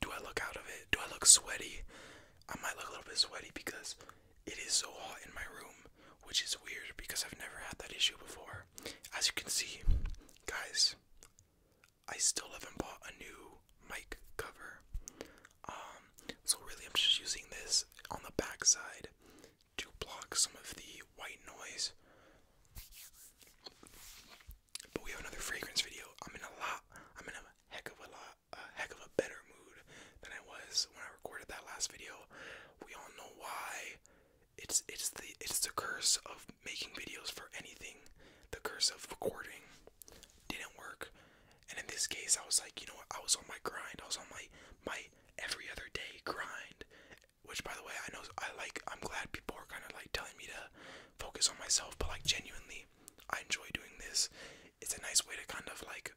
Do I look out of it? Do I look sweaty? I might look a little bit sweaty because it is so hot in my room, which is weird because I've never had that issue before. As you can see, guys, I still haven't bought a new mic cover. Um, so really I'm just using this on the backside to block some of the white noise. But we have another fragrance video. I'm in a lot. I'm in a heck of a lot, a heck of a better mood than I was when I recorded that last video. We all know why. It's it's the it's the curse of making videos for anything. The curse of recording didn't work. And in this case, I was like, you know what? I was on my grind. I was on my my every other day grind which by the way I know I like I'm glad people are kind of like telling me to focus on myself but like genuinely I enjoy doing this it's a nice way to kind of like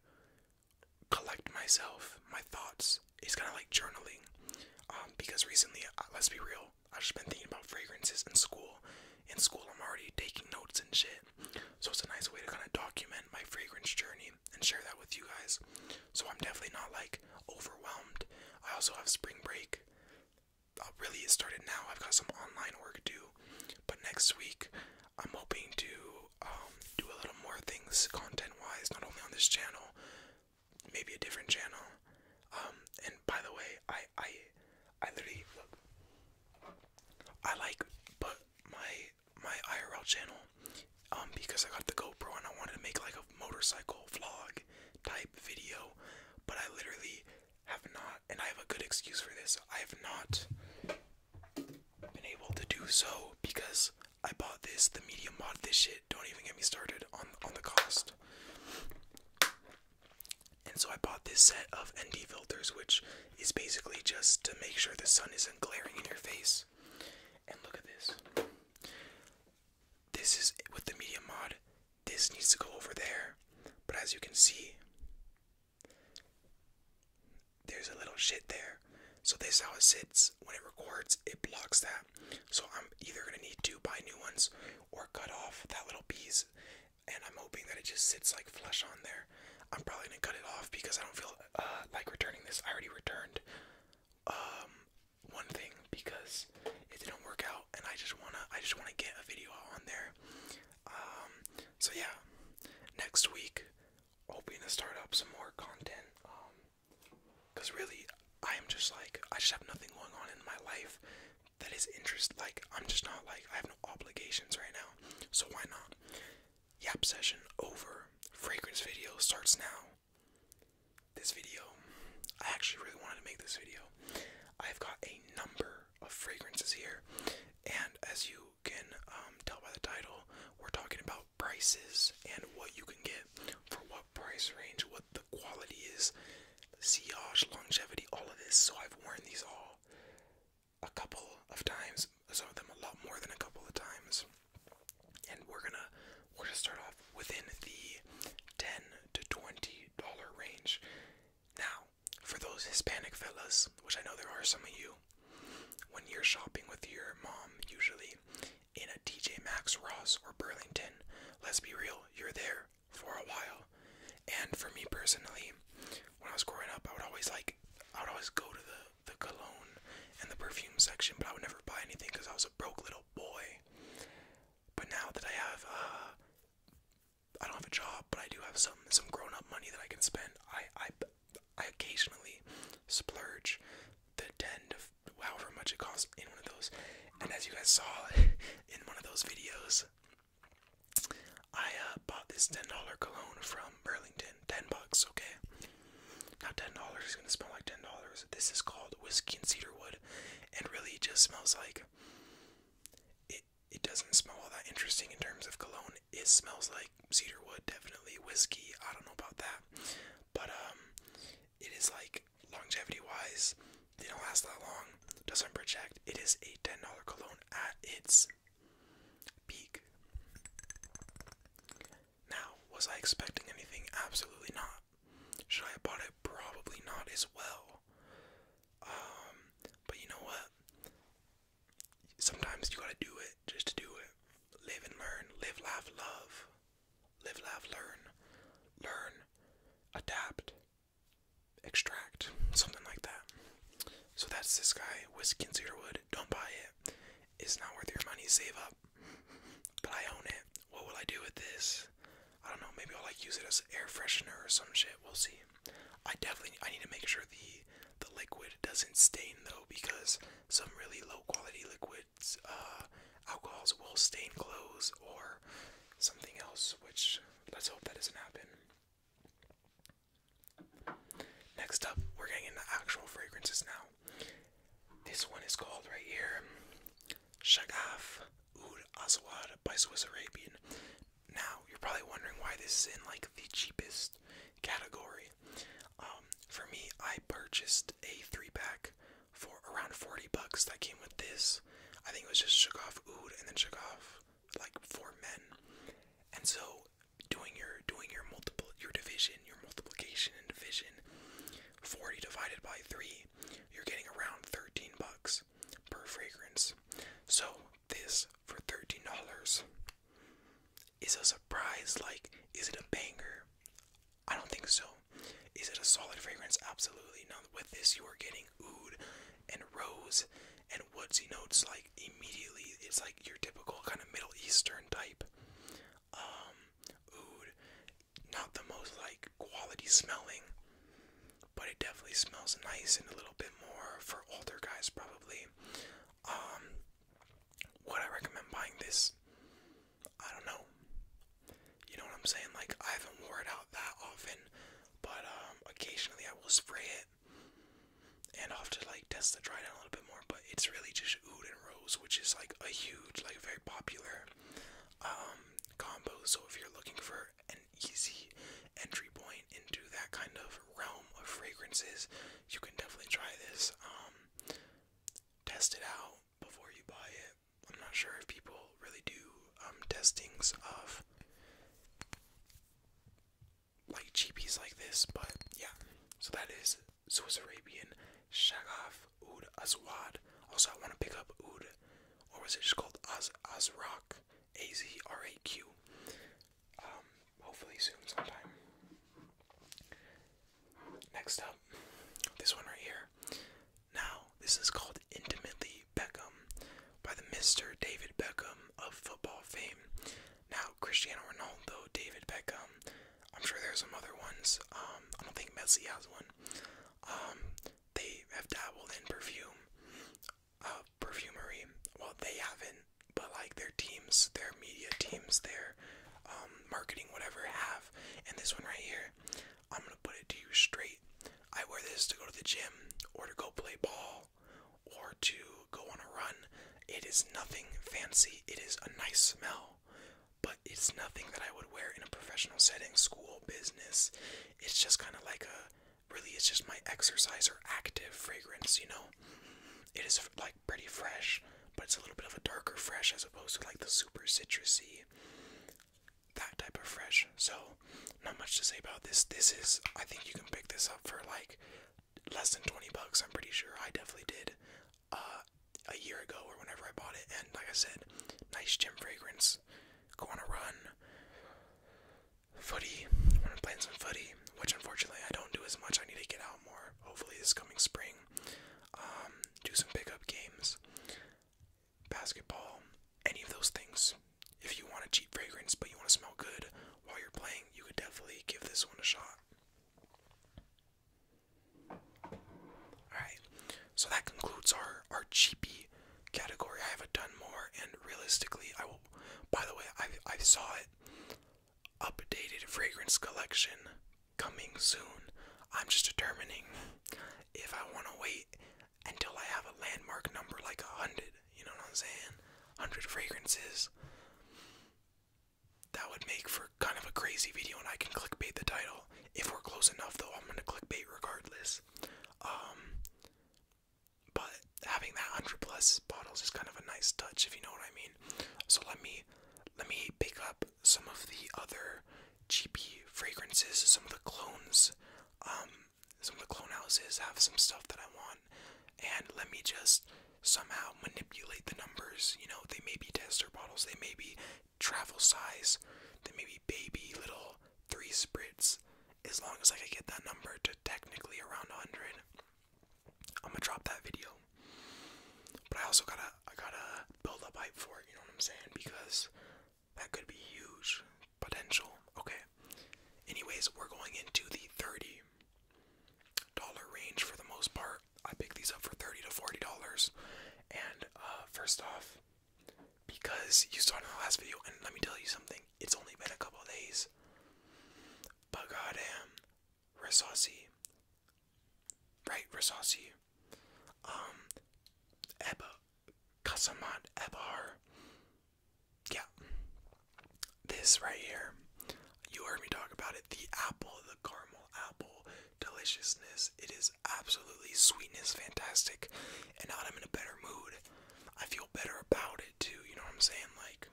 collect myself my thoughts it's kind of like journaling um, because recently uh, let's be real I've just been thinking about fragrances in school in school I'm already taking notes and shit so it's a nice way to kind of document my fragrance journey and share that with you guys so I'm definitely not like overwhelmed I also have spring break uh, really it started now. I've got some online work due, but next week I'm hoping to um, do a little more things content-wise, not only on this channel, maybe a different channel. Um, and by the way, I I I literally I like but my my IRL channel um because I got the GoPro and I wanted to make like a motorcycle vlog type video, but I literally have not, and I have a good excuse for this, I have not been able to do so because I bought this, the media mod, this shit, don't even get me started on, on the cost. And so I bought this set of ND filters, which is basically just to make sure the sun isn't glaring in your face. And look at this. This is with the media mod. This needs to go over there. But as you can see, there's a little shit there. So this is how it sits. When it records, it blocks that. So I'm either gonna need to buy new ones or cut off that little piece. And I'm hoping that it just sits like flush on there. I'm probably gonna cut it off because I don't feel uh, like returning this. I already returned um one thing because it didn't work out and I just wanna I just wanna get a video out on there. Um so yeah next week hoping to start up some more content. Um because really I am just like I just have nothing going on in my life that is interest like I'm just not like I have no obligations right now. So why not? Yap session over. Fragrance video starts now this video, I actually really wanted to make this video. I've got a number of fragrances here, and as you can um, tell by the title, we're talking about prices and what you can get for what price range, what the quality is, sillage, longevity, all of this. So I've worn these all a couple of times, some of them a lot more than a couple of times, and we're gonna we're gonna start off within the ten to twenty dollar range. Now, for those Hispanic fellas, which I know there are some of you, when you're shopping with your mom, usually in a TJ Maxx, Ross, or Burlington, let's be real, you're there for a while. And for me personally, when I was growing up, I would always like, I would always go to the the cologne and the perfume section, but I would never buy anything because I was a broke little boy. But now that I have uh, I don't have a job, but I do have some some grown up money that I can spend. I I, I occasionally splurge the ten to however much it costs in one of those. And as you guys saw in one of those videos, I uh, bought this ten dollar cologne from Burlington. Ten bucks, okay. Now ten dollars is gonna smell like ten dollars. This is called whiskey and cedarwood, and really just smells like it it doesn't smell all that interesting in terms of cologne. It smells like cedarwood, definitely whiskey. I don't know about that, but um, it is like longevity wise, they don't last that long. Doesn't project. It is a ten dollar cologne at its peak. Now, was I expecting anything? Absolutely not. Should I have bought it? Probably not as well. Um, but you know what? Sometimes you gotta do it just to do it. Live and learn. Live, laugh, love. Live, laugh, learn. Learn, adapt, extract, something like that. So that's this guy, Whiskey and Cedarwood. Don't buy it. It's not worth your money. Save up. But I own it. What will I do with this? I don't know, maybe I'll like use it as air freshener or some shit. We'll see. I definitely I need to make sure the the liquid doesn't stain though because some really low quality liquids uh alcohols will stain clothes or something else which let's hope that doesn't happen. Next up, we're getting into actual fragrances now. This one is called right here Shagaf Oud Aswad by Swiss Arabian. Now, you're probably wondering why this is in like the cheapest category. Um, for me, I purchased a three pack for around 40 bucks that came with this. I think it was just shook off Oud and then shook off like four men. And so doing your doing your multiple your division, your multiplication and division, 40 divided by 3, you're getting around 13 bucks per fragrance. So, this for $13 is a surprise. Like, is it a banger? I don't think so. Is it a solid fragrance? Absolutely. not. with this, you are getting oud and rose and woodsy notes like immediately. It's like your typical kind of Middle Eastern type. Um, oud, not the most like quality smelling but it definitely smells nice and a little bit more for older guys probably. Um, I recommend buying this? I don't know. You know what I'm saying? Like I haven't wore it out that often, but um, occasionally I will spray it, and I'll have to like test the dry down a little bit more. But it's really just oud and rose, which is like a huge, like very popular um, combo. So if you're looking for easy entry point into that kind of realm of fragrances, you can definitely try this. Um, test it out before you buy it. I'm not sure if people really do um, testings of like cheapies like this, but yeah. So that is Swiss Arabian Shagaf Oud Aswad. Also, I want to pick up Oud, or was it just called Az Azrak? A Z R A Q. Um, hopefully soon sometime. Next up, this one right here. Now, this is called Intimately Beckham by the Mr. David Beckham of football fame. Now, Cristiano Ronaldo, David Beckham. I'm sure there's some other ones. Um, I don't think Messi has one. Um, they have dabbled in perfume uh, perfumery. Well, they haven't, but like their teams, their media teams, their um, marketing, whatever, have. And this one right here, I'm gonna put it to you straight. I wear this to go to the gym or to go play ball or to go on a run. It is nothing fancy. It is a nice smell, but it's nothing that I would wear in a professional setting, school, business. It's just kind of like a really it's just my exercise or active fragrance, you know? It is like pretty fresh, but it's a little bit of a darker fresh as opposed to like the super citrusy, that type of fresh. So, not much to say about this. This is, I think you can pick this up for like less than 20 bucks, I'm pretty sure. I definitely did. Uh, a year ago or whenever I bought it, and like I said, nice gym fragrance. Go on a run, footy. I've been playing some footy, which unfortunately I don't do as much. I need to get out more. Hopefully this coming spring, um, do some pickup games, basketball, any of those things. If you want a cheap fragrance but you want to smell good while you're playing, you could definitely give this one a shot. Alright, so that concludes our, our cheapy category. I haven't done more, and realistically, I will. By the way, I I saw it updated fragrance collection coming soon. I'm just determining if I want to wait until I have a landmark number like a hundred. You know what I'm saying? Hundred fragrances. That would make for kind of a crazy video, and I can clickbait the title. If we're close enough, though, I'm gonna clickbait regardless. Um, but having that hundred plus bottles is kind of a nice touch, if you know what I mean. So let me let me pick up some of the other cheapy fragrances, some of the clones. Um, some of the clone houses have some stuff that I want, and let me just somehow manipulate the numbers. You know, they may be tester bottles, they may be travel size, they may be baby little three spritz. As long as I can get that number to technically around a 100, I'm gonna drop that video. But I also gotta, I gotta build up hype for it. You know what I'm saying? Because that could be huge potential. Okay. Anyways, we're going into the 30 dollar range for the most part. I pick these up for 30 to 40 dollars. And uh, first off, because you saw in the last video, and let me tell you something, it's only been a couple days. But goddamn, Rasasi, right? Rasasi, um, Eba, Kasamat, Ebar, yeah. This right here, you heard me talk about it. The apple, the caramel apple, deliciousness. It is absolutely sweetness, fantastic. And now I'm in a better mood, I feel better about it too, you know what I'm saying? Like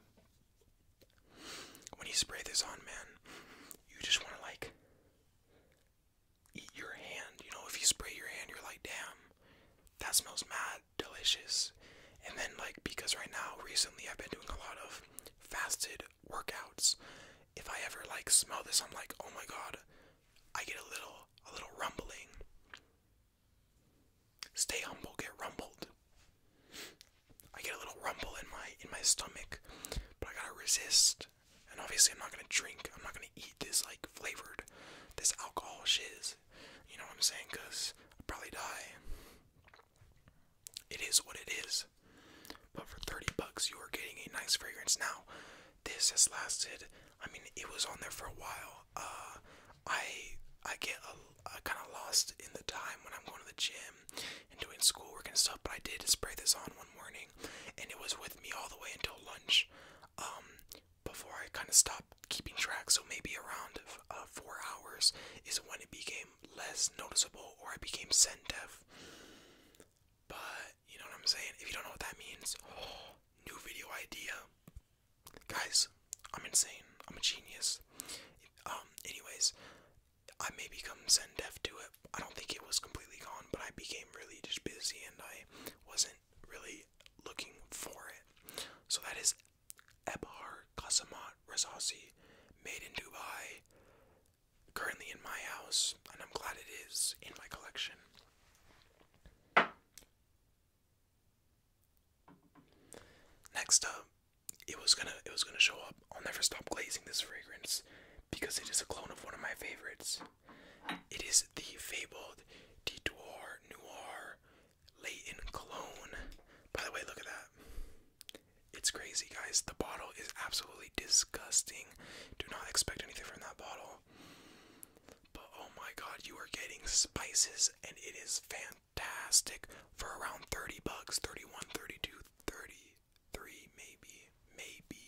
when you spray this on, man, you just wanna like eat your hand. You know, if you spray your hand you're like, damn, that smells mad delicious. And then like because right now recently I've been doing a lot of fasted workouts. If I ever like smell this, I'm like, oh my god, I get a little a little rumbling. Stay humble, get rumbled. I get a little rumble in my in my stomach, but I gotta resist. And obviously, I'm not gonna drink. I'm not gonna eat this like flavored, this alcohol shiz. You know what I'm saying? Cause I'll probably die. It is what it is. But for 30 bucks, you are getting a nice fragrance. Now, this has lasted I mean, it was on there for a while. Uh, I I get a, kind of lost in the time when I'm going to the gym and doing schoolwork and stuff, but I did spray this on one morning, and it was with me all the way until lunch. Um, before I kind of stopped keeping track, so maybe around uh, four hours is when it became less noticeable or I became scent deaf. But you know what I'm saying? If you don't know what that means, new video idea. Guys, I'm insane. I'm a genius. Um, anyways, I may become send deaf to it. I don't think it was completely gone, but I became really just busy and I wasn't really looking for it. So that is Ebhar Qasamat Razazi, made in Dubai, currently in my house, and I'm glad it is in my collection. Next up, um, it was gonna it was gonna show up. I'll never stop glazing this fragrance because it is a clone of one of my favorites. It is the fabled Detour Noir Leighton Cologne. By the way, look at that. It's crazy, guys. The bottle is absolutely disgusting. Do not expect anything from that bottle. But oh my god, you are getting spices and it is fantastic for around 30 bucks, 31, 32, 33 maybe, maybe.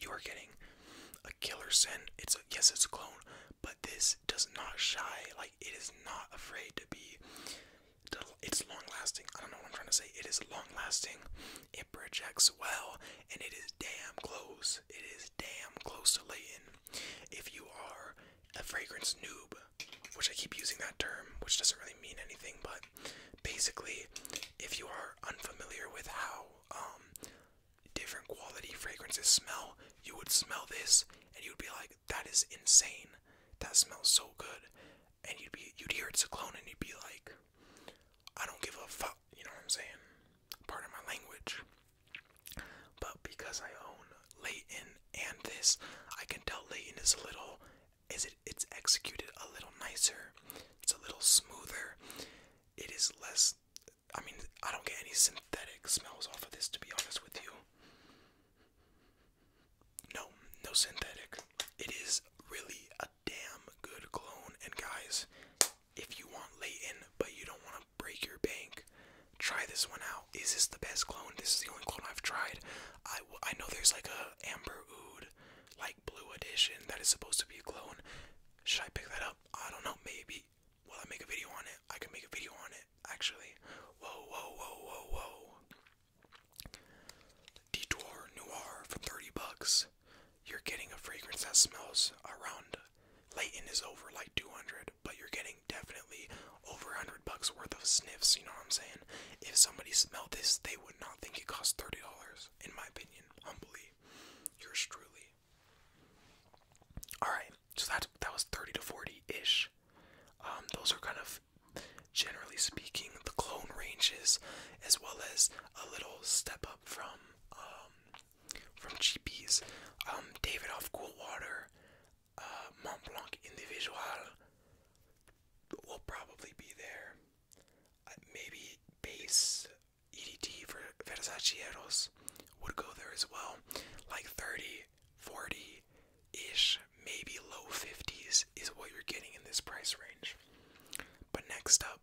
You are getting a killer scent. It's a, yes, it's a clone, but this does not shy. Like it is not afraid to be it's long lasting. I don't know what I'm trying to say. It is long lasting. It projects well and it is damn close. It is damn close to Leighton. If you are a fragrance noob, which I keep using that term, which doesn't really mean anything, but basically, if you are unfamiliar with how um, different quality fragrances smell, you would smell this and you'd be like, "That is insane! That smells so good!" And you'd be, you'd hear it's a clone, and you'd be like, "I don't give a fuck." You know what I'm saying? Part of my language. But because I own Leighton and this, I can tell Leighton is a little is it it's executed a little nicer. It's a little smoother. It is less I mean, I don't get any synthetic smells off of this to be honest with you. No, no synthetic. It is really a damn good clone and guys, if you want Leighton but you don't want to break your bank. Try this one out. Is this the best clone? This is the only clone I've tried. I, I know there's like a Amber Ood, like blue edition that is supposed to be a clone. Should I pick that up? I don't know. Maybe. Will I make a video on it? I can make a video on it. Actually. Whoa, whoa, whoa, whoa, whoa. Detour Noir for 30 bucks. You're getting a fragrance that smells around. Leighton is over like 200 but you're getting definitely over a 100 bucks worth of sniffs, you know what I'm saying? If somebody smelled this, they would not think it cost $30, in my opinion, humbly. Yours truly. Alright, so that, that was 30 to 40-ish. Um, those are kind of, generally speaking, the clone ranges, as well as a little step up from um, from cheapies, Um, Davidoff Cool Water, uh, Mont Blanc Individual will probably be there. Uh, maybe Base EDT for Versacieros would go there as well. Like 30, 40 ish, maybe low 50s is what you're getting in this price range. But next up,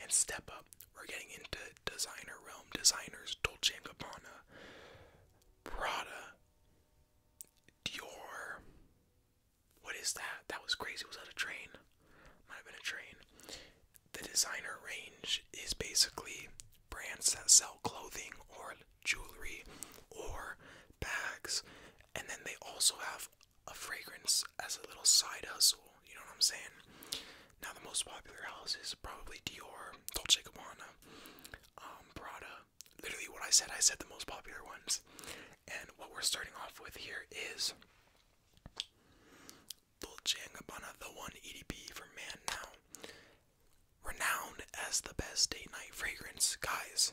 and step up we're getting into designer realm, designers, Dolce & Gabbana, Prada, Dior. What is that? That was crazy. Was that a train? Might have been a train. The designer range is basically brands that sell clothing or jewelry or bags, and then they also have a fragrance as a little side hustle. You know what I'm saying? Now, the most popular houses probably Dior, Dolce Gabbana, um, Prada. Literally, what I said, I said the most popular ones. And what we're starting off with here is Dolce Gabbana, the one EDP for man now. Renowned as the best date night fragrance. Guys,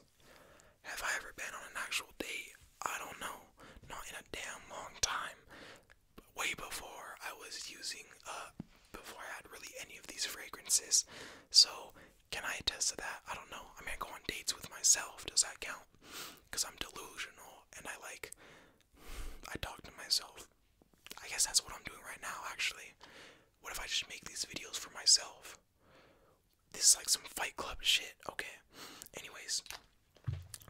have I ever been on an actual date? I don't know. Not in a damn long time way before I was using, uh, before I had really any of these fragrances. So, can I attest to that? I don't know. I am gonna go on dates with myself. Does that count? Because I'm delusional and I like, I talk to myself. I guess that's what I'm doing right now, actually. What if I just make these videos for myself? This is like some Fight Club shit. Okay. Anyways,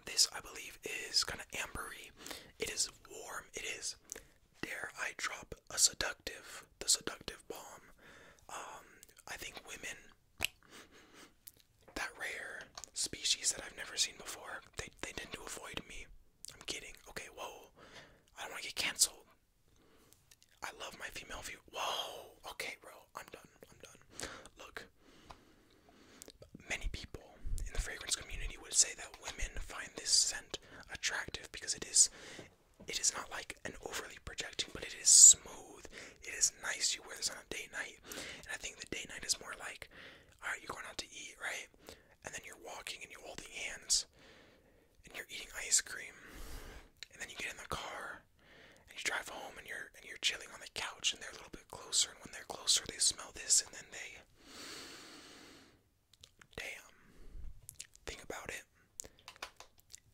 this I believe is kind of ambery. It is warm. It is Dare I drop a seductive, the seductive bomb? Um, I think women, that rare species that I've never seen before, they, they tend to avoid me. I'm kidding. Okay, whoa. I don't want to get canceled. I love my female view. Whoa. Okay, bro. I'm done. I'm done. Look, many people in the fragrance community would say that women find this scent attractive because it is it is not like an overly projecting, but it is smooth. It is nice. You wear this on a date night. And I think the date night is more like, alright, you're going out to eat, right? And then you're walking and you hold holding hands and you're eating ice cream. And then you get in the car and you drive home and you're and you're chilling on the couch and they're a little bit closer and when they're closer they smell this and then they Damn. Think about it.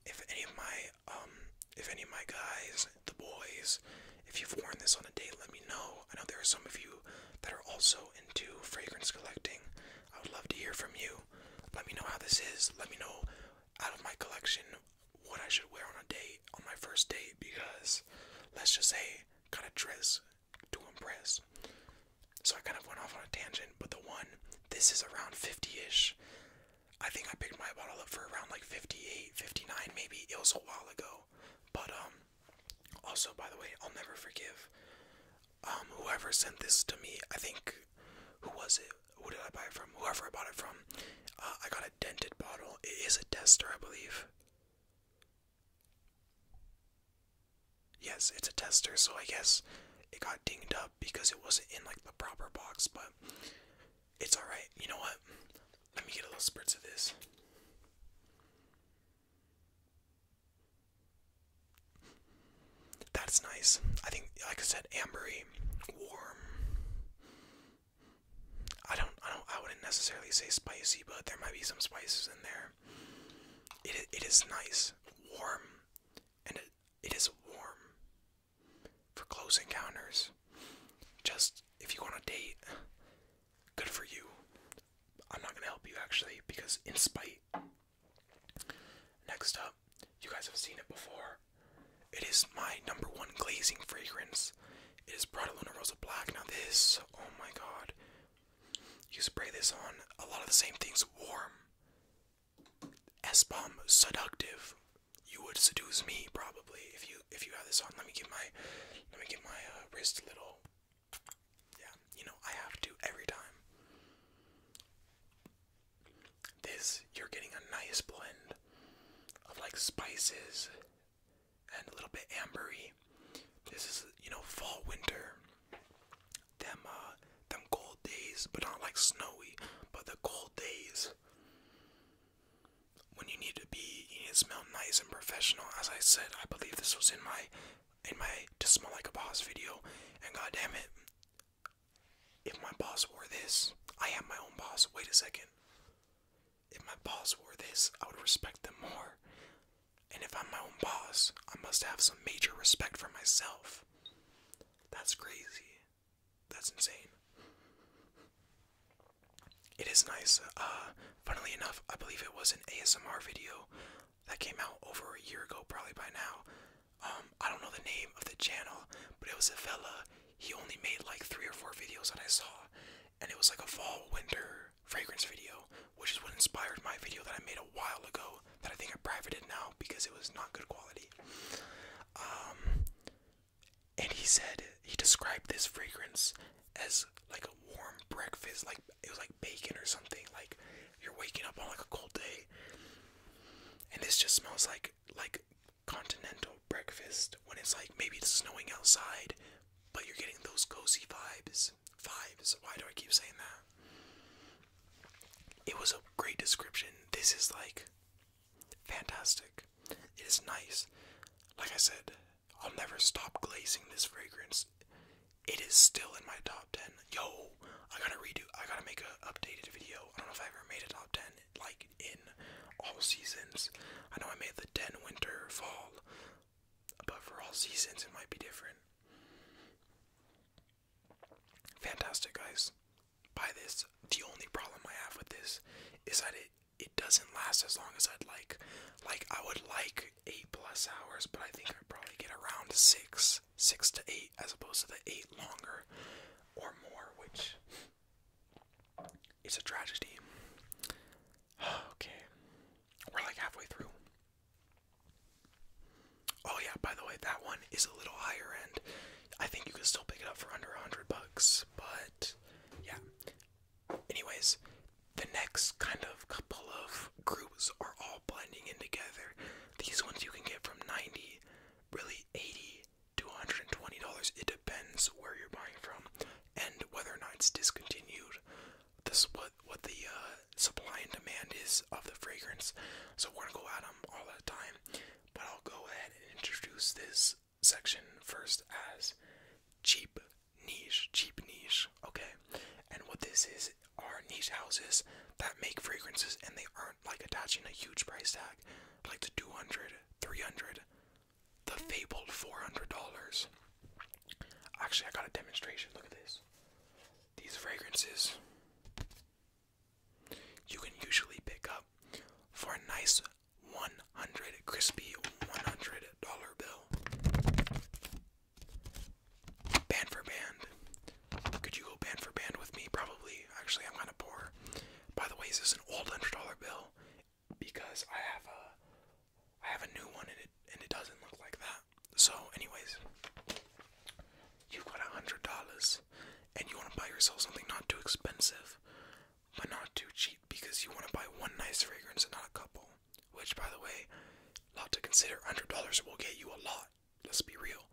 If any of my um if any of my guys, the boys, if you've worn this on a date, let me know. I know there are some of you that are also into fragrance collecting. I would love to hear from you. Let me know how this is. Let me know out of my collection what I should wear on a date, on my first date, because let's just say, kind of dress to impress. So I kind of went off on a tangent, but the one, this is around 50-ish. I think I picked my bottle up for around like 58, 59 maybe. It was a while ago. But um also by the way, I'll never forgive um whoever sent this to me. I think who was it? Who did I buy it from? Whoever I bought it from. Uh, I got a dented bottle. It is a tester, I believe. Yes, it's a tester, so I guess it got dinged up because it wasn't in like the proper box, but it's alright. You know what? Let me get a little spritz of this. That's nice. I think like I said, ambery, warm. I don't I don't I wouldn't necessarily say spicy, but there might be some spices in there. It it is nice, warm, and it, it is warm for close encounters. Just if you want a date, good for you. I'm not gonna help you actually because in spite. Next up, you guys have seen it before. It is my number one glazing fragrance. It is Prada Luna Rosa Black. Now this, oh my god, you spray this on a lot of the same things warm. S bomb seductive. You would seduce me probably if you if you had this on. Let me get my let me get my uh, wrist a little. Yeah, you know I have to every time. This you're getting a nice blend of like spices and a little bit ambery this is you know fall winter. Them uh, them cold days, but not like snowy, but the cold days when you need to be you need to smell nice and professional. As I said, I believe this was in my in my to smell like a boss video, and god damn it, if my boss wore this, I am my own boss. Wait a second. If my boss wore this, I would respect them more. And if I'm my own boss, I must have some major respect for myself. That's crazy. That's insane. It is nice. Uh, funnily enough, I believe it was an ASMR video that came out over a year ago, probably by now. Um, I don't know the name of the channel, but it was a fella. He only made like three or four videos that I saw, and it was like a fall winter fragrance video which is what inspired my video that I made a while ago that I think I privated now because it was not good quality. Um, and he said he described this fragrance as like a warm breakfast, like it was like bacon or something, like you're waking up on like a cold day. And this just smells like like continental breakfast when it's like maybe it's snowing outside, but you're getting those cozy vibes. Vibes. Why do I keep saying that? It was a great description. This is like fantastic. It is nice. Like I said, I'll never stop glazing this fragrance. It is still in my top 10. Yo, I gotta redo, I gotta make an updated video. I don't know if I ever made a top 10, like in all seasons. I know I made the 10 winter, fall, but for all seasons, it might be different. Fantastic, guys. By this, the only problem I have with this is that it it doesn't last as long as I'd like. Like I would like eight plus hours, but I think i probably get around six, six to eight, as opposed to the eight longer or more, which it's a tragedy. okay, we're like halfway through. Oh yeah, by the way, that one is a little higher end. I think you can still pick it up for under a hundred bucks, but yeah. Anyways, the next kind of couple of groups are all blending in together. These ones you can get from 90, really 80 to 120 dollars. It depends where you're buying from and whether or not it's discontinued this what what the uh, supply and demand is of the fragrance. So we're gonna go at them all the time. But I'll go ahead and introduce this section first as cheap niche, cheap niche. Okay, and what this is are niche houses that make fragrances and they aren't like attaching a huge price tag, like the 200, 300, the fabled $400. Actually, I got a demonstration. Look at this these fragrances you can usually pick up for a nice 100 crispy 100 dollar bill. Band for band. Could you go band for band with me? Probably. Actually, I'm kind of poor. By the way, is this an old hundred dollar bill? Because I have a, I have a new one and it and it doesn't look like that. So, anyways, you've got a hundred dollars and you want to buy yourself something not too expensive, but not too cheap because you want to buy one nice fragrance and not a couple. Which, by the way, a lot to consider. Hundred dollars will get you a lot. Let's be real.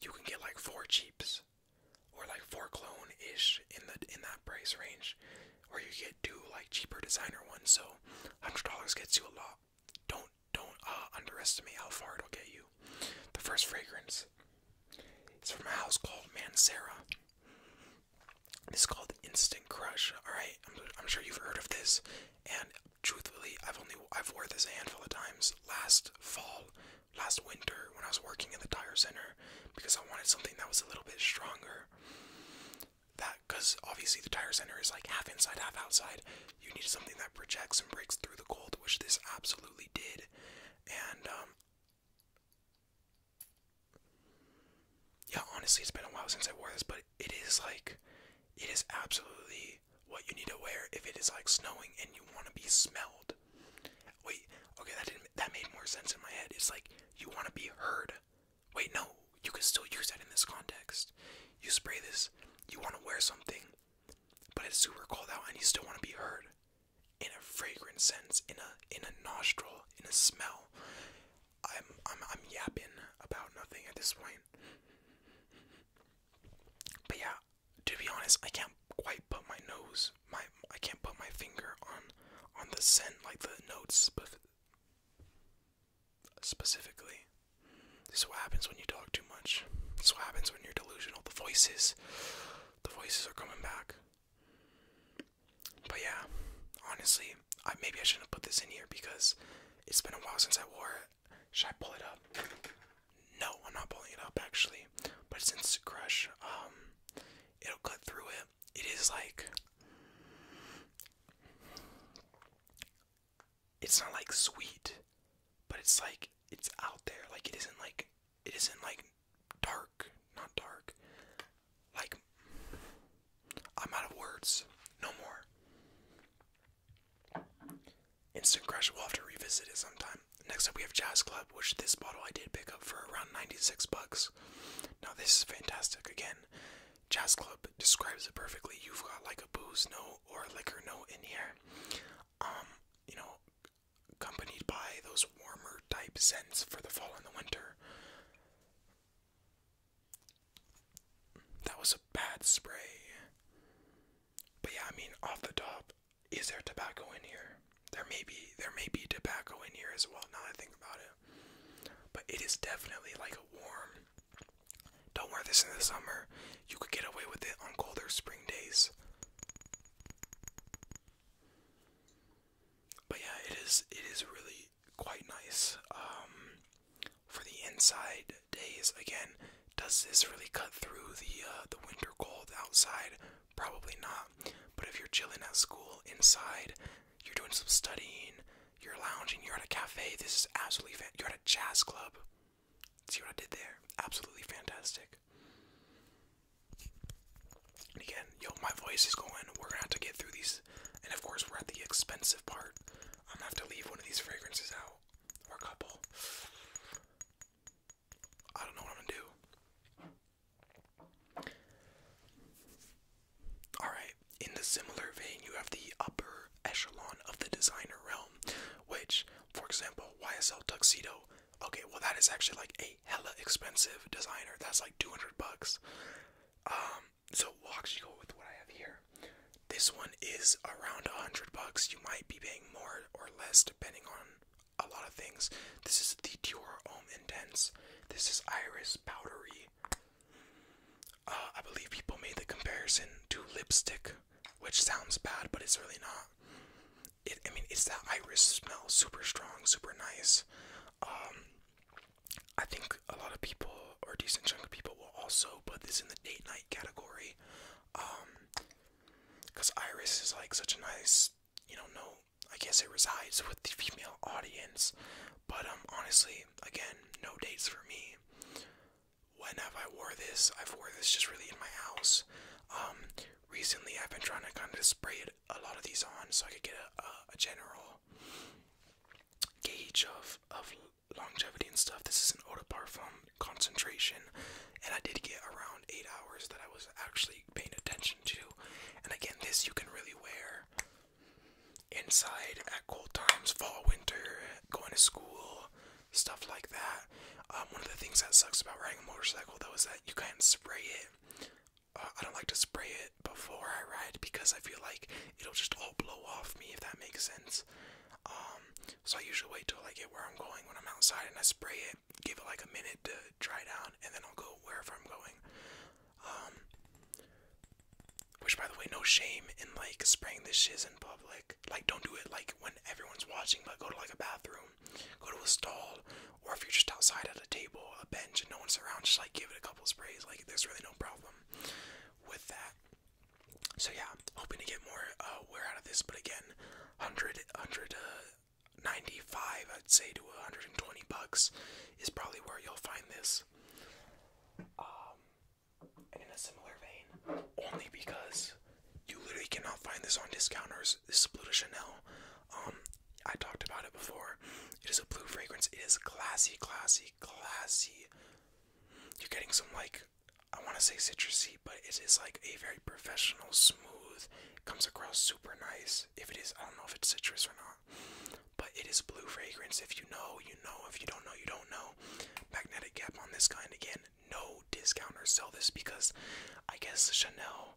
You can get like four cheaps, or like four clone ish in the in that price range, or you get two like cheaper designer ones. So, hundred dollars gets you a lot don't don't uh, underestimate how far it'll get you. The first fragrance it's from a house called Mancera. It's called Instant Crush. All right, sure you've heard of this, and truthfully, I've only I've wore this a handful of times. Last fall, last winter, when I was working in the tire center, because I wanted something that was a little bit stronger. That because obviously the tire center is like half inside, half outside. You need something that projects and breaks through the cold, which this absolutely did. And, um, yeah, honestly, it's been a while since I wore this, but it is like, it is absolutely what you need to wear if it is like snowing and you want to be smelled. Wait, okay, that didn't, that made more sense in my head. It's like, you want to be heard. Wait, no, you can still use that in this context. You spray this, you want to wear something, but it's super cold out and you still want to be heard in a fragrance sense, in a in a nostril, in a smell. I'm I'm I'm yapping about nothing at this point. But yeah, to be honest, I can't quite put my nose, my I can't put my finger on on the scent like the notes, but specifically. This is what happens when you talk too much. This is what happens when you're delusional. The voices, the voices are coming back. But yeah, honestly, I, maybe I shouldn't have put this in here because it's been a while since I wore it. Should I pull it up? No, I'm not pulling it up actually. But since Instant Crush. Um, it'll cut through it. It is like it's not like sweet, but it's like it's out there. Like it isn't like it isn't like dark, not dark. Like I'm out of words. No more. Instant Crush. We'll have to revisit it sometime. Next up, we have Jazz Club, which this bottle I did pick up for around 96 bucks. Now this is fantastic. Again, Jazz Club describes it perfectly. You've got like a booze note or liquor note in here. Um, you know, accompanied by those warmer type scents for the fall and the winter. That was a bad spray. But yeah, I mean off the top, is there tobacco in here? There may be there may be tobacco in here as well, now I think about it. But it is definitely like a warm don't wear this in the summer. You could get away with it on colder spring days. But yeah, it is it is really quite nice. Um, for the inside days again, does this really cut through the uh, the winter cold outside? Probably not. But if you're chilling at school inside, you're doing some studying, you're lounging, you're at a cafe, this is absolutely You're at a jazz club. See what I did there? Absolutely fantastic. And again, yo, my voice is going. We're gonna have to get through these. And of course, we're at the expensive part. I'm gonna have to leave one of these fragrances out. Or a couple. I don't know what I'm gonna do. Alright, in the similar vein, you have the upper echelon of the designer realm. Which, for example, YSL Tuxedo. Okay, well that is actually like a hella expensive designer. That's like 200 bucks. Um, so we'll actually go with what I have here. This one is around 100 bucks. You might be paying more or less depending on a lot of things. This is the Dior Homme Intense. This is Iris Powdery. Uh, I believe people made the comparison to lipstick, which sounds bad, but it's really not. It, I mean, it's that iris smell, super strong, super nice. Um, I think a lot of people, or decent chunk of people, will also put this in the date night category. Um, because iris is like such a nice, you know, no, I guess it resides with the female audience. But um, honestly, again, no dates for me when have I wore this? I've wore this just really in my house. Um, recently I've been trying to kind of spray a lot of these on so I could get a, a general gauge of, of longevity and stuff. This is an eau de parfum concentration and I did get around eight hours that I was actually paying attention to. And again, this you can really wear inside at cold times, fall, winter, going to school, stuff like that. Um, one of the things that sucks about riding a motorcycle though is that you can't spray it. Uh, I don't like to spray it before I ride because I feel like it'll just all blow off me if that makes sense. Um, so I usually wait till I get where I'm going when I'm outside and I spray it, give it like a minute to dry down, and then I'll go wherever I'm going. Um, which by the way, no shame in like spraying the shiz and public. Like, don't do it like when everyone's watching, but go to like a bathroom, go to a stall, or if you're just outside at a table, a bench, and no one's around, just like give it a couple sprays. Like, there's really no problem with that. So, yeah, hoping to get more uh, wear out of this, but again, 100, uh, 95, I'd say, to 120 bucks is probably where you'll find this. Um, and in a similar vein. Only because you literally cannot find this on discounters. This is Blue Chanel. Um, I talked about it before. It is a blue fragrance. It is classy, classy, classy. You're getting some like I want to say citrusy, but it is like a very professional, smooth. Comes across super nice. If it is, I don't know if it's citrus or not, but it is blue fragrance. If you know, you know. If you don't know, you don't know. Magnetic cap on this kind again no discounters sell this because I guess Chanel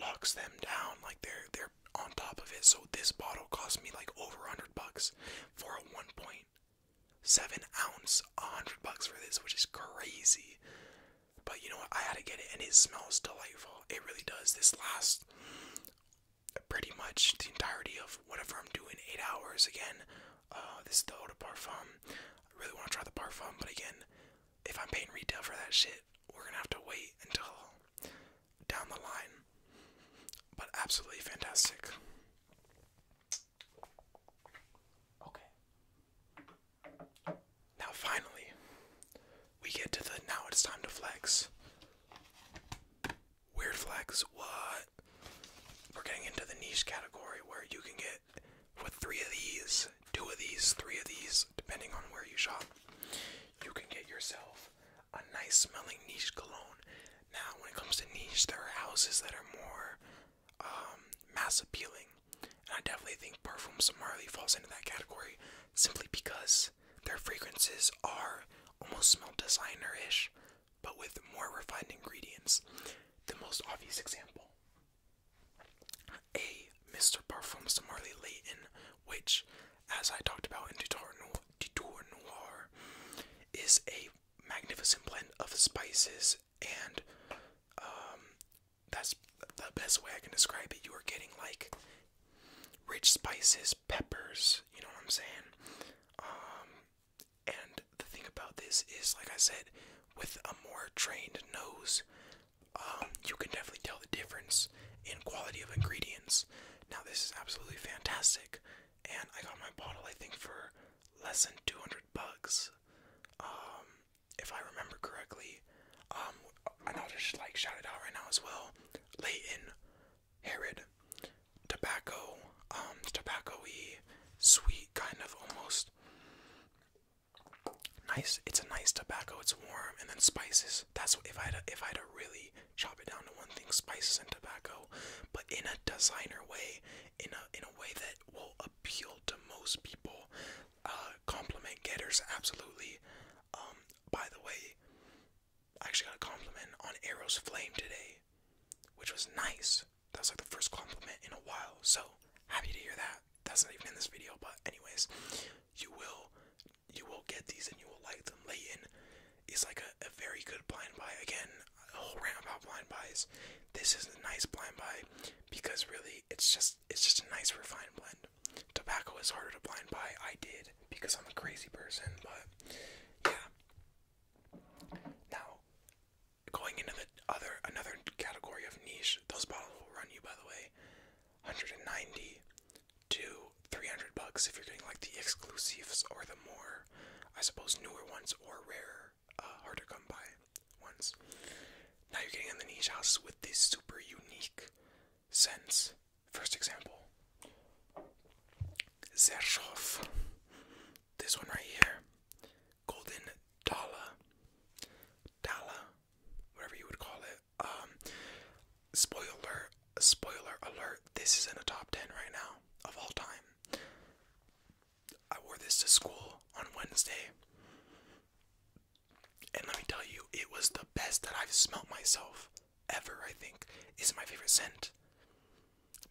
locks them down like they're they're on top of it. So this bottle cost me like over hundred bucks for a one point seven ounce, hundred bucks for this, which is crazy. But you know what? I had to get it, and it smells delightful. It really does. This lasts pretty much the entirety of whatever I'm doing, eight hours again. Uh, this is the old Parfum. I really want to try the Parfum, but again, if I'm paying retail for that shit, we're gonna have to wait until down the line. But absolutely fantastic. Okay. Now finally, we get to the now it's time to flex. Weird flex. What? we're getting into the niche category where you can get with three of these, two of these, three of these, depending on where you shop, you can get yourself a nice smelling niche cologne. Now, when it comes to niche, there are houses that are more um, mass appealing, and I definitely think Parfums Marley falls into that category simply because their fragrances are almost smell designer ish, but with more refined ingredients. The most obvious example a Mr. Parfums de Marley Leighton, which, as I talked about in Detour Noir, is a magnificent blend of spices and um, that's the best way I can describe it. You are getting like rich spices, peppers, you know what I'm saying? Um, and the thing about this is, like I said, with a more trained nose, um, you can definitely tell the difference in quality of ingredients. Now, this is absolutely fantastic, and I got my bottle, I think, for less than 200 bucks, um, if I remember correctly. Um, and I'll just like shout it out right now as well. Layton, Harrod, tobacco, um, sweet kind of almost Nice. It's a nice tobacco. It's warm, and then spices. That's what, if I had to, if I had to really chop it down to one thing: spices and tobacco, but in a designer way, in a in a way that will appeal to most people. Uh, compliment getters, absolutely. Um, by the way, I actually got a compliment on Arrow's flame today, which was nice. That's like the first compliment in a while, so happy to hear that. That's not even in this video, but anyways, you will you will get these and you will like them. Leighton is like a, a very good blind buy. Again, a whole rant about blind buys. This is a nice blind buy because really it's just it's just a nice refined blend. Tobacco is harder to blind buy. I did because I'm a crazy person, but yeah. Now, going into the other another category of niche, those bottles will run you by the way 190 to 300 bucks if you're getting like the exclusives or the more I suppose newer ones or rarer, uh, hard to come by ones. Now you're getting in the niche houses with these super unique scents. First example Zershoff. This one right here golden dollar, dollar, whatever you would call it. Um, spoiler, spoiler alert. This is in the top ten right now of all time. I wore this to school on Wednesday, and let me tell you, it was the best that I've smelt myself ever. I think is my favorite scent.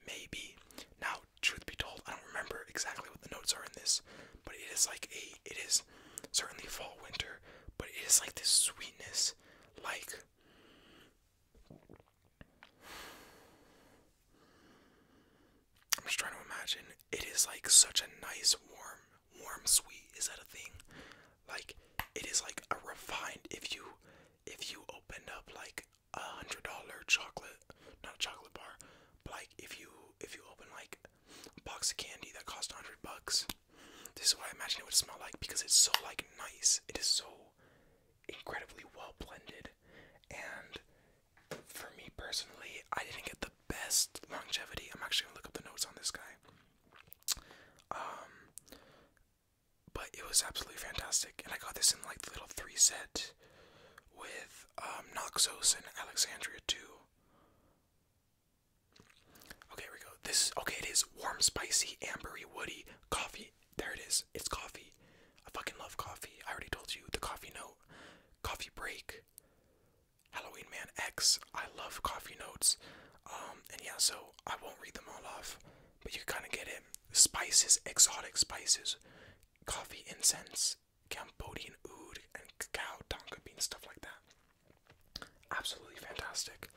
Maybe now truth be told, I don't remember exactly what the notes are in this, but it is like a, it is certainly fall winter, but it is like this sweetness, like. I'm just trying to imagine. It is like such a nice, warm, warm sweet. Is that a thing? Like, it is like a refined. If you, if you opened up like a hundred dollar chocolate, not a chocolate bar, but like if you if you open like a box of candy that cost hundred bucks, this is what I imagine it would smell like because it's so like nice. It is so incredibly well blended, and for me personally, I didn't get the best longevity. I'm actually gonna look up the notes on this guy. Um, but it was absolutely fantastic, and I got this in like little three set with um, Noxos and Alexandria too. Okay, here we go. This okay. It is warm, spicy, ambery, woody coffee. There it is. It's coffee. I fucking love coffee. I already told you the coffee note, coffee break, Halloween Man X. I love coffee notes. Um, and yeah, so I won't read them all off, but you kind of get it. Spices, exotic spices, coffee incense, Cambodian oud and cacao tonka bean stuff like that. Absolutely fantastic.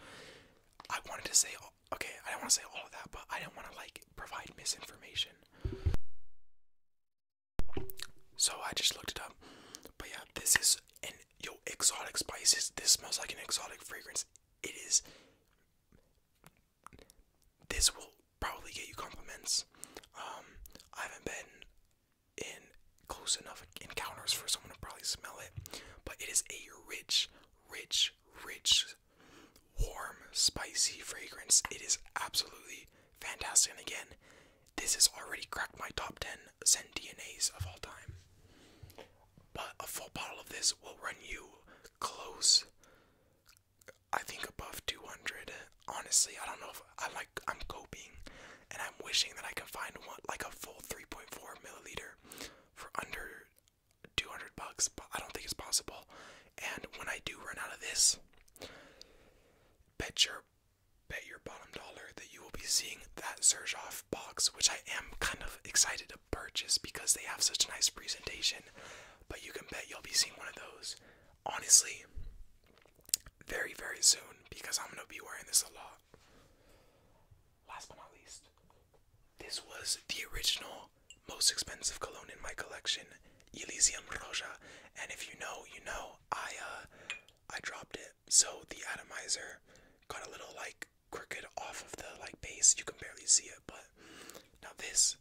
I wanted to say okay, I don't want to say all of that, but I don't want to like provide misinformation. So I just looked it up. But yeah, this is an yo exotic spices. This smells like an exotic fragrance. It is. This will probably get you compliments. Um, I haven't been in close enough encounters for someone to probably smell it, but it is a rich, rich, rich, warm, spicy fragrance. It is absolutely fantastic. And again, this has already cracked my top 10 scent DNAs of all time. But a full bottle of this will run you close, I think above 200. Honestly, I don't know if I like I'm coping and I'm wishing that I can find one like a full 3.4 milliliter for under 200 bucks, but I don't think it's possible. And when I do run out of this, bet your bet your bottom dollar that you will be seeing that Zerzhov box, which I am kind of excited to purchase because they have such a nice presentation. But you can bet you'll be seeing one of those honestly, very, very soon because I'm going to be wearing this a lot. Last but not least, this was the original most expensive cologne in my collection, Elysium Roja. And if you know, you know, I uh I dropped it. So the atomizer got a little like crooked off of the like base. You can barely see it, but now this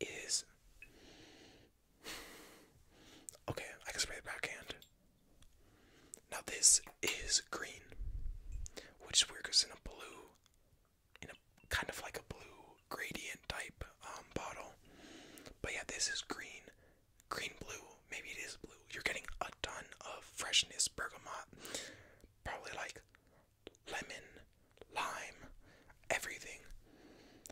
is Okay, I can spray the backhand. Now this is green, which is weird because in a blue, in a kind of like a blue gradient type um, bottle. But yeah, this is green, green blue. Maybe it is blue. You're getting a ton of freshness bergamot, probably like lemon, lime, everything.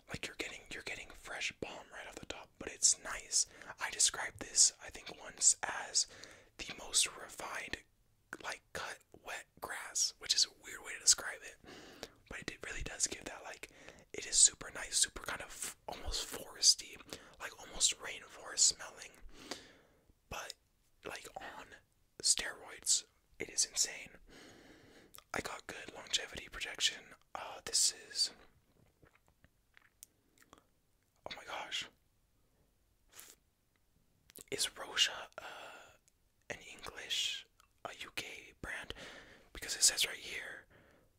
Like you're getting you're getting fresh balm right off the top, but it's nice. I described this I think once as the most refined like cut wet grass, which is a weird way to describe it. But it really does give that like it is super nice, super kind of almost foresty, like almost rainforest smelling, but like on steroids it is insane. I got good longevity projection. Uh, this is. Oh my gosh. Is Rocha uh, an English, a UK brand? Because it says right here,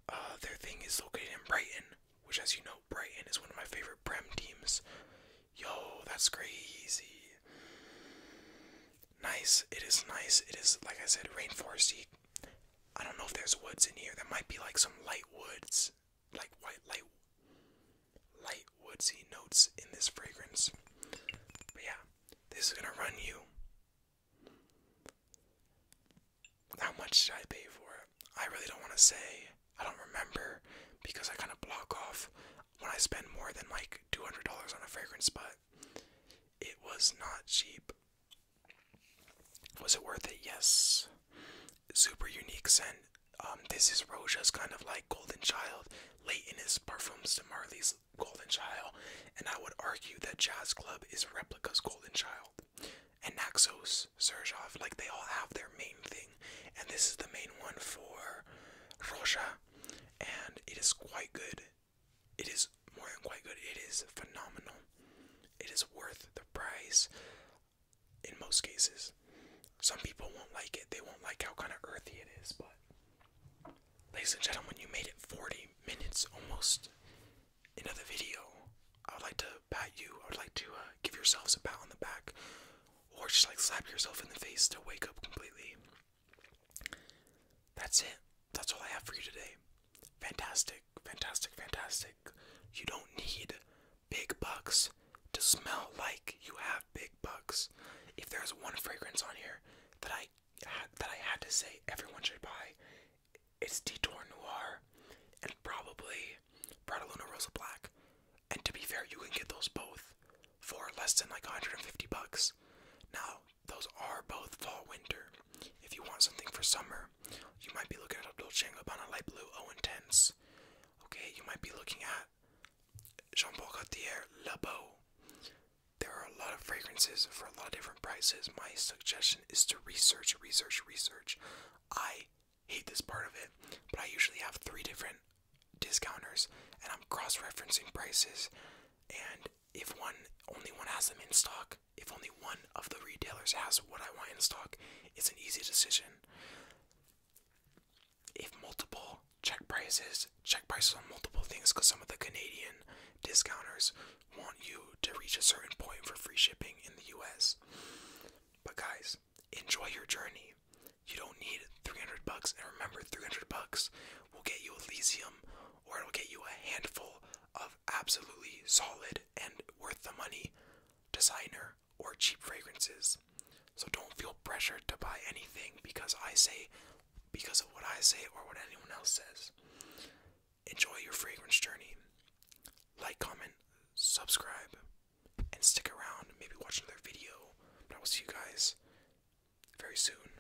uh, their thing is located in Brighton, which, as you know, Brighton is one of my favorite Prem teams. Yo, that's crazy nice. It is nice. It is like I said, rainforesty. I don't know if there's woods in here. There might be like some light woods, like white light, light woodsy notes in this fragrance. But yeah, this is gonna run you. How much did I pay for it? I really don't want to say. I don't remember because I kind of block off when I spend more than like $200 on a fragrance, but it was not cheap. Was it worth it? Yes. Super unique scent. Um, this is Roja's kind of like Golden Child. Leighton his perfumes to Marley's Golden Child. And I would argue that Jazz Club is Replica's Golden Child. And Naxos, Serjov, like they all have their main thing. And this is the main one for Roja. And it is quite good it is more than quite good. It is phenomenal. It is worth the price in most cases. Some people won't like it. They won't like how kind of earthy it is, but ladies and gentlemen, you made it 40 minutes almost into the video. I would like to pat you. I would like to uh, give yourselves a pat on the back or just like slap yourself in the face to wake up completely. That's it. That's all I have for you today. Fantastic, fantastic, fantastic. You don't need big bucks to smell like you have big bucks. If there's one fragrance on here that I that I had to say everyone should buy, it's Detour Noir and probably Prada Luna Rosa Black. And to be fair, you can get those both for less than like 150 bucks. Now, those are both fall winter. If you want something for summer, you might be looking at a Dolce light blue O oh, intense. Okay, you might be looking at Jean Paul Gaultier Le There are a lot of fragrances for a lot of different prices. My suggestion is to research, research, research. I hate this part of it, but I usually have three different discounters and I'm cross referencing prices. And if one only one has them in stock, if only one of the retailers has what I want in stock, it's an easy decision. If multiple check prices, check prices on multiple things because some of the Canadian discounters want you to reach a certain point for free shipping in the US. But guys, enjoy your journey. You don't need 300 bucks and remember 300 bucks will get you Elysium or it'll get you a handful of absolutely solid and worth the money designer or cheap fragrances. So don't feel pressured to buy anything because I say, because of what I say or what anyone else says. Enjoy your fragrance journey. Like, comment, subscribe, and stick around. Maybe watch another video. I will see you guys very soon.